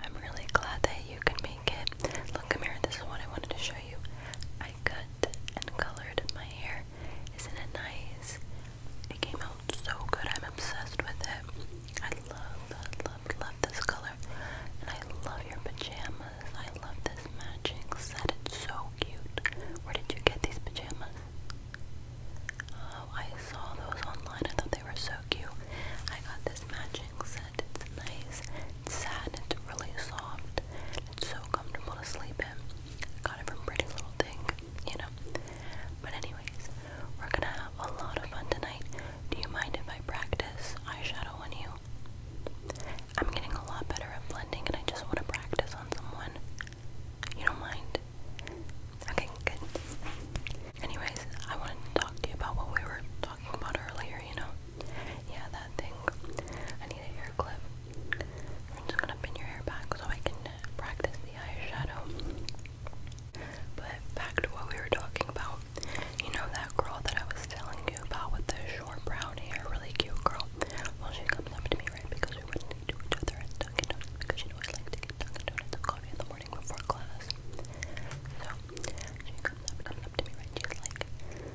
I'm really glad that you can make it. Look, come here, this is what I wanted to show you. I cut and colored my hair. Isn't it nice? It came out so good. I'm obsessed with it. I love, love, love, this color. And I love your pajamas. I love this matching set. It's so cute. Where did you get these pajamas? I saw those online. I thought they were so cute. I got this matching set. It's nice. It's satin. It's really soft. It's so comfortable to sleep in. Got it from Pretty Little Thing, you know. But anyways, we're gonna have a lot of fun tonight. Do you mind if I practice eyeshadow on you? I'm getting a lot better at blending, and I just want to practice on someone. You don't mind? Okay, good. Anyways, I wanted to talk to you about what we were talking about earlier, you know? Yeah, that thing. I need a hair clip. I'm just gonna pin your hair back so I can practice the eyeshadow. But back to what we were talking about. You know that girl that I was telling you about with the short brown hair, really cute girl? Well, she comes up to me, right, because we wouldn't do each other at Dunkin' Donuts because she always like to get Dunkin' Donuts and coffee in the morning morning before class. So she comes up, to me, right? She's like, but anyways,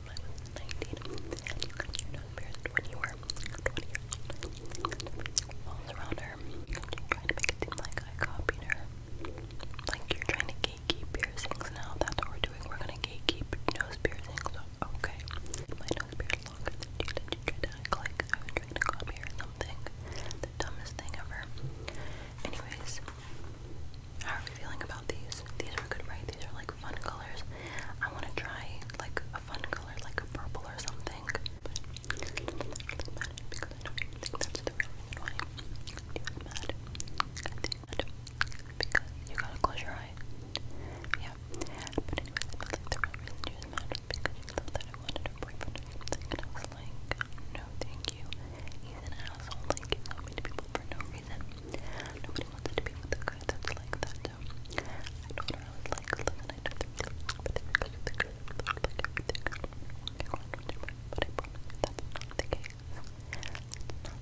11, you like I her. Like you're trying to gatekeep piercings now, that's what we're doing. We're gonna gatekeep nose piercings, okay. My nose beard longer did. You tried to act I was trying to copy something. The dumbest thing ever. Anyways, how are you feeling about these? These are good, right? These are like fun colors. I want to try like a fun color, like a purple or something. But I'm mad because I don't even think that's the real reason why you're mad. I think that because you gotta close your eye. Yeah. But anyway, I feel like the real reason you was mad because you thought that I wanted a boyfriend or something. And I was like, no, thank you. He's an asshole. Like, he's not mean to people for no reason reason. Nobody wanted to be with a guy that's like that, I told her I was like, like but I promise you that's not the case. not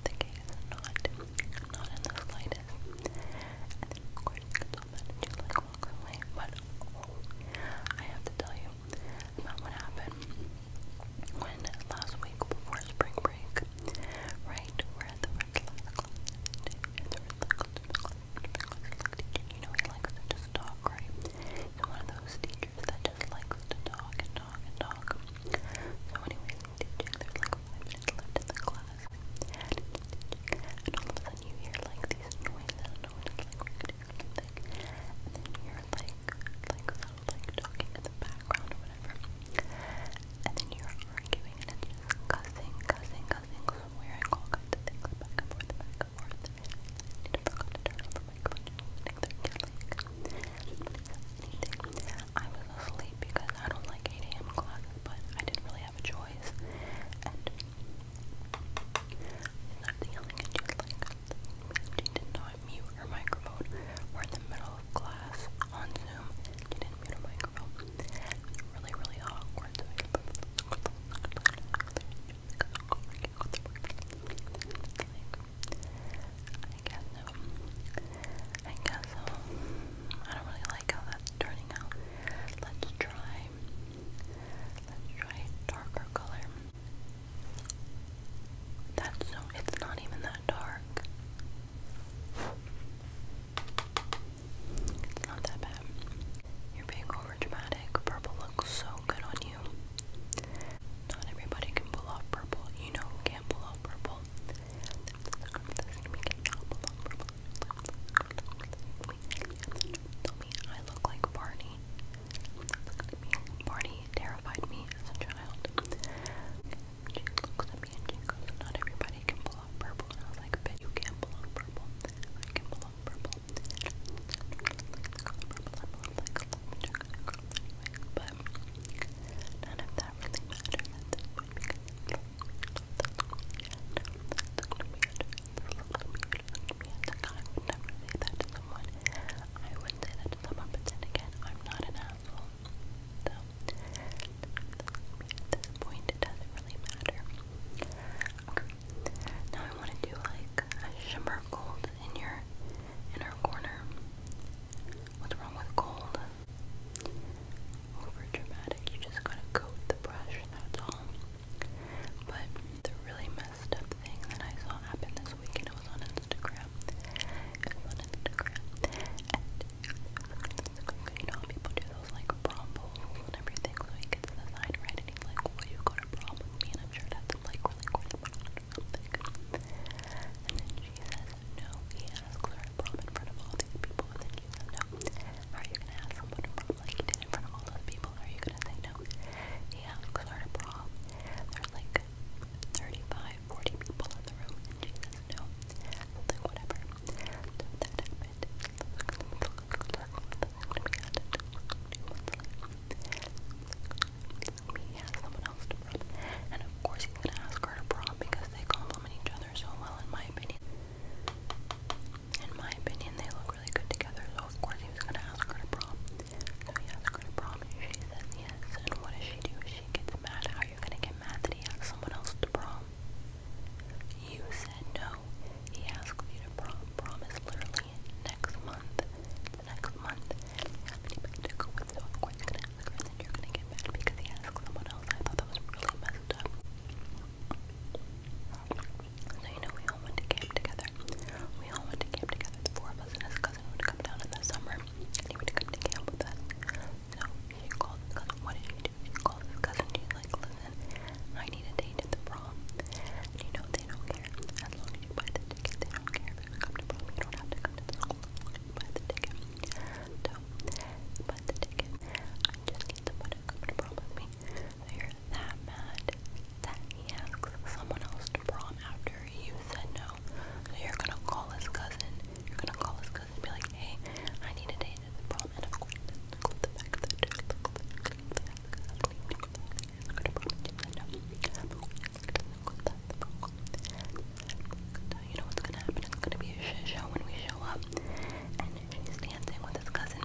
the case, not, in the slightest. And then, of course, you all mad and she like walks away, but I have to tell you about what happened when last week before spring break, right? We're at the Red Class You know he likes to just talk, right? He's one of those teachers that just likes to talk and talk and talk. So anyways, I'm teaching. like class. And all of a sudden you hear like these noises. No one is like, and then you hear like, like like talking in the background or whatever, and then you're arguing and cussing, cussing, cussing, swearing, all kinds of things back and forth, back and forth. I need to forgot to turn I was asleep because I don't like 8 a.m. classes, but I didn't really have a choice. And not yelling at like she did not mute her microphone. We're in the middle of class on Zoom. She didn't mute her microphone. really, really awkward. I guess um, I guess um, I don't really like how that's turning out. Let's try, let's try darker color. That's so, it's not even that dark. It's not that bad. You're being over Purple looks so good on you. Not everybody can pull off purple. You know who can pull off purple. Tell me I look like Barney looked at me. Barney terrified me as a child. She looks at me and she goes, Not everybody can pull off purple. And I was like, Bet you can pull off purple. I can pull off purple. But none of that really matters at this point because I would never say that to someone. I wouldn't say that to someone, but then again, I'm not an asshole. So, at this point, it doesn't really matter. Okay. Now I want to do like a shimmer gold in your inner corner. What's wrong with gold? Over dramatic. You just gotta coat the brush. That's all. But to really messed up thing that I saw happen this week, and it was on Instagram. It was on Instagram, and you know, people do those like prom bowls and everything. So he gets the sign and he's like, "Will you go to prom with me?" And I'm sure that's like really corny or And then she says, "No." He asks her to prom in front of all these people, and then she says, "No." are you gonna ask someone to prom like you did in front of all those people? Are you gonna say no? know? Yeah, because our prom, there's like 35, 40 people in the room, and she says no. So like, whatever. So that happened. We had someone else to prom, and of course he's gonna ask her to prom because they compliment each other so well, in my opinion. In my opinion, they look look really good together, so of course he was gonna ask her to prom. So he asked her to prom, and she says yes, and what does she do? She gets mad. How are you gonna get mad that he asked someone else to prom? You said no. He asked you to prom. Prom is literally next month. The next month. Anybody to go with, so of course you're gonna ask her, and then you're gonna get mad because he asked someone else. I thought that was really messed up. So you know we all went to camp together. We all went to camp together. four of us and his cousin would come down in the summer he would come to camp with us. So she called his cousin. What did she do? She called his cousin. She's like, listen, I need a date at the prom. And you know they don't care. As long as you buy the ticket, they don't care come to prom. You don't have to come to school. buy the ticket. So, buy the ticket. I just need somebody to come to prom with me. So you're that mad that he asks someone else to prom after you said no. you're gonna call his cousin. You're gonna call his cousin and be like, hey, I need a date at the prom and I'm the back of you know what's gonna happen? It's gonna be a shit show when we show up. And she's dancing with his cousin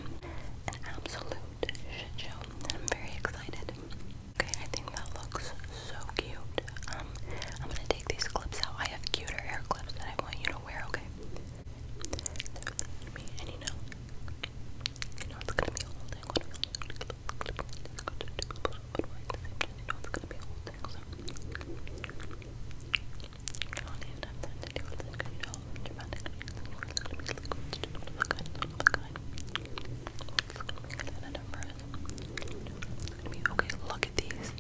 an absolute shit show. I'm very excited. Okay, I think that looks so cute. Um, I'm gonna take these clips out. I have cuter hair clips that I want you to wear, okay? and you know, you know it's gonna be a you know it's gonna be a look at these.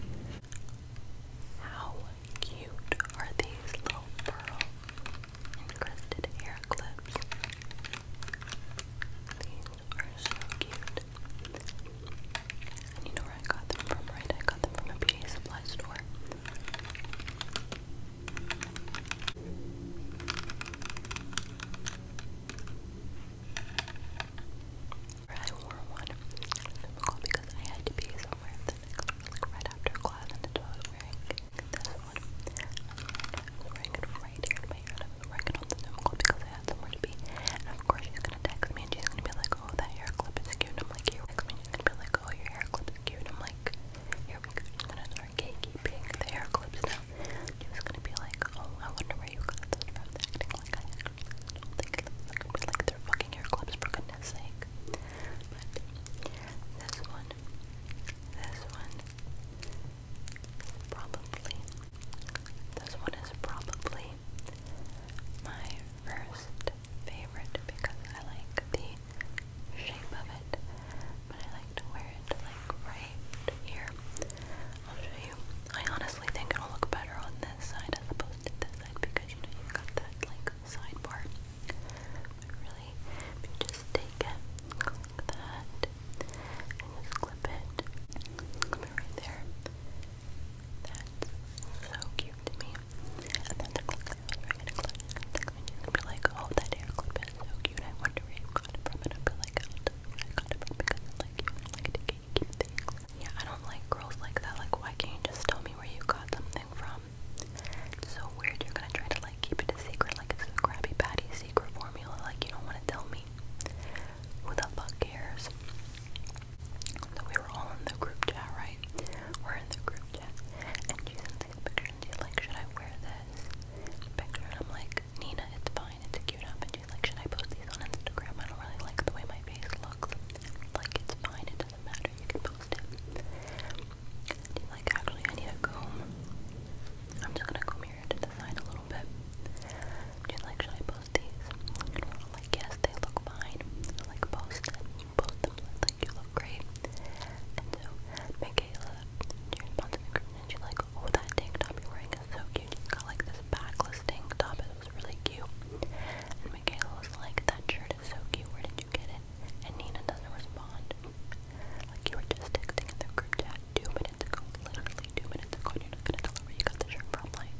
How cute are these little pearl encrusted hair clips? These are so cute. And you know where I got them from, right? I got them from a beauty supply store. I wore one because I had to be somewhere the next, like right after class, and that's why I was wearing this one. I was wearing it right here in my ear, and I was working on the Zoom because I had somewhere to be. And of course, she's gonna text me, and she's gonna be like, "Oh, that hair clip is cute." And I'm like, "You text me?" And she's gonna be like, like, oh, your hair clip is cute. like, here we go. I'm gonna start the hair clips now. She was gonna be like, oh, I wonder where you got those from. like I don't think they're fucking hair clips for goodness sake. But this one, this one, probably, this one is probably my first favorite because I like the shape of it, but I like to wear it like right here. I'll show you. I honestly think it'll look better on this side as opposed to this side because you know you've got that like side part. really, if you just take it like that and just clip it right there. That's so cute to me. And then the you're gonna be like, oh, that hair clip is so cute. I wonder where you got it from. And I'll be like, I got it from because I like cute Yeah, I don't like girls like that. Like, why can't you just tell me where you got something from? It's so weird. You're gonna try to like keep it a secret. Like, it's a Krabby Patty secret formula. Like, you don't want to tell me. Who the fuck cares? So we were all in the group chat, right? We're in the group chat. And she sends these pictures and she's like, should I wear this picture? And I'm like, Nina, it's fine, it's a cute up. And she's like, should I post these on Instagram? I don't really like the way my face looks. Like, it's fine, it doesn't matter, you can post it. She's like, actually, I need a comb. I'm just gonna comb here to the side a little bit. She's like, should I post of like, yes, they look fine. like, post Post them. Like, you look great. And so, Michaela, she responds in the group and she's like, oh, that tank top you're wearing is so cute. You got like this backless tank top. It was really cute. And Michaela was like, that shirt is so cute. Where did you get it? And Nina doesn't respond. Like, you were just texting in the group chat two minutes ago. Literally two minutes ago. you're not gonna tell her where you got the shirt from. Like,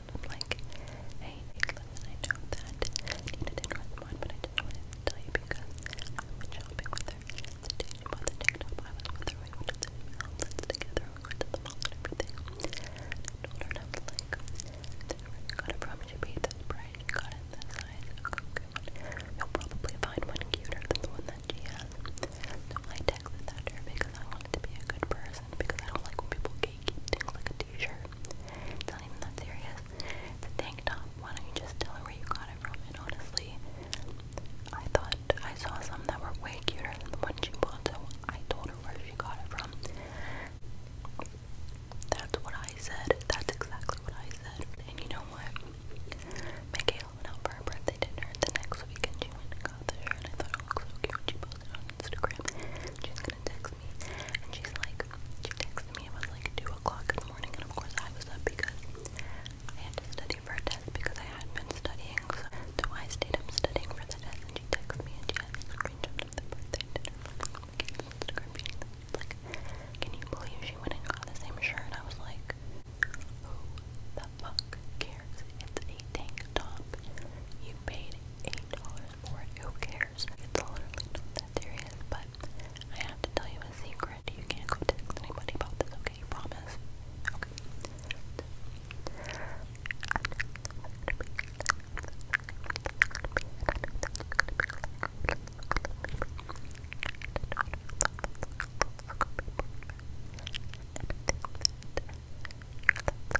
and like, hey, I know that Nina didn't respond, but I just wanted to tell you because I went shopping with her the day she bought the I was with her, we went to the outlets together, we went to the mall everything, I told her, and I was like, got it from you, she paid this price, got it this size, okay, you'll probably find one cuter than the one that she has, so I texted that to because I wanted to be a good person, because I don't like when people gatekeep things like a t It's not even that serious. The tank top, why don't you just tell her where you got it from? And honestly, I thought I saw some that were way cuter than the one she bought, so I told her where she got it from. That's what I said. That's exactly what I said. And you know what? Michaela went out for her birthday dinner the next weekend got the shirt and I thought it looked so cute. She posted on Instagram. She's gonna text me, and she's like, she texted me. It was like two o'clock in the morning, and of course I was up because I had to study for a test because I had been studying. So, so I stayed up studying for the test, and she texted me, and she had a screenshot of the birthday dinner from Instagram. She's like, can you believe she went and got the same shirt? And I was like, who the fuck cares? It's a tank top. You paid. $80 for it. Who cares? It's literally not that serious, but I have to tell you a secret. You can't go text anybody about this, okay? You promise? Okay. I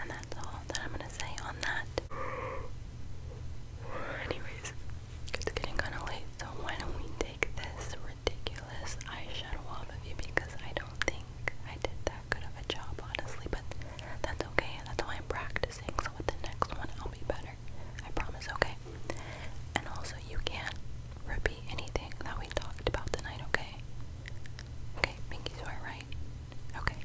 And that's all that I'm going to say on that. Anyways, it's getting kind of late, so why don't we take this ridiculous eyeshadow off of you because I don't think I did that good of a job, honestly. But that's okay. That's why I'm practicing. So with the next one, I'll be better. I promise. Okay. And also, you can repeat anything that we talked about tonight. Okay. Okay. Pinky swear, Okay.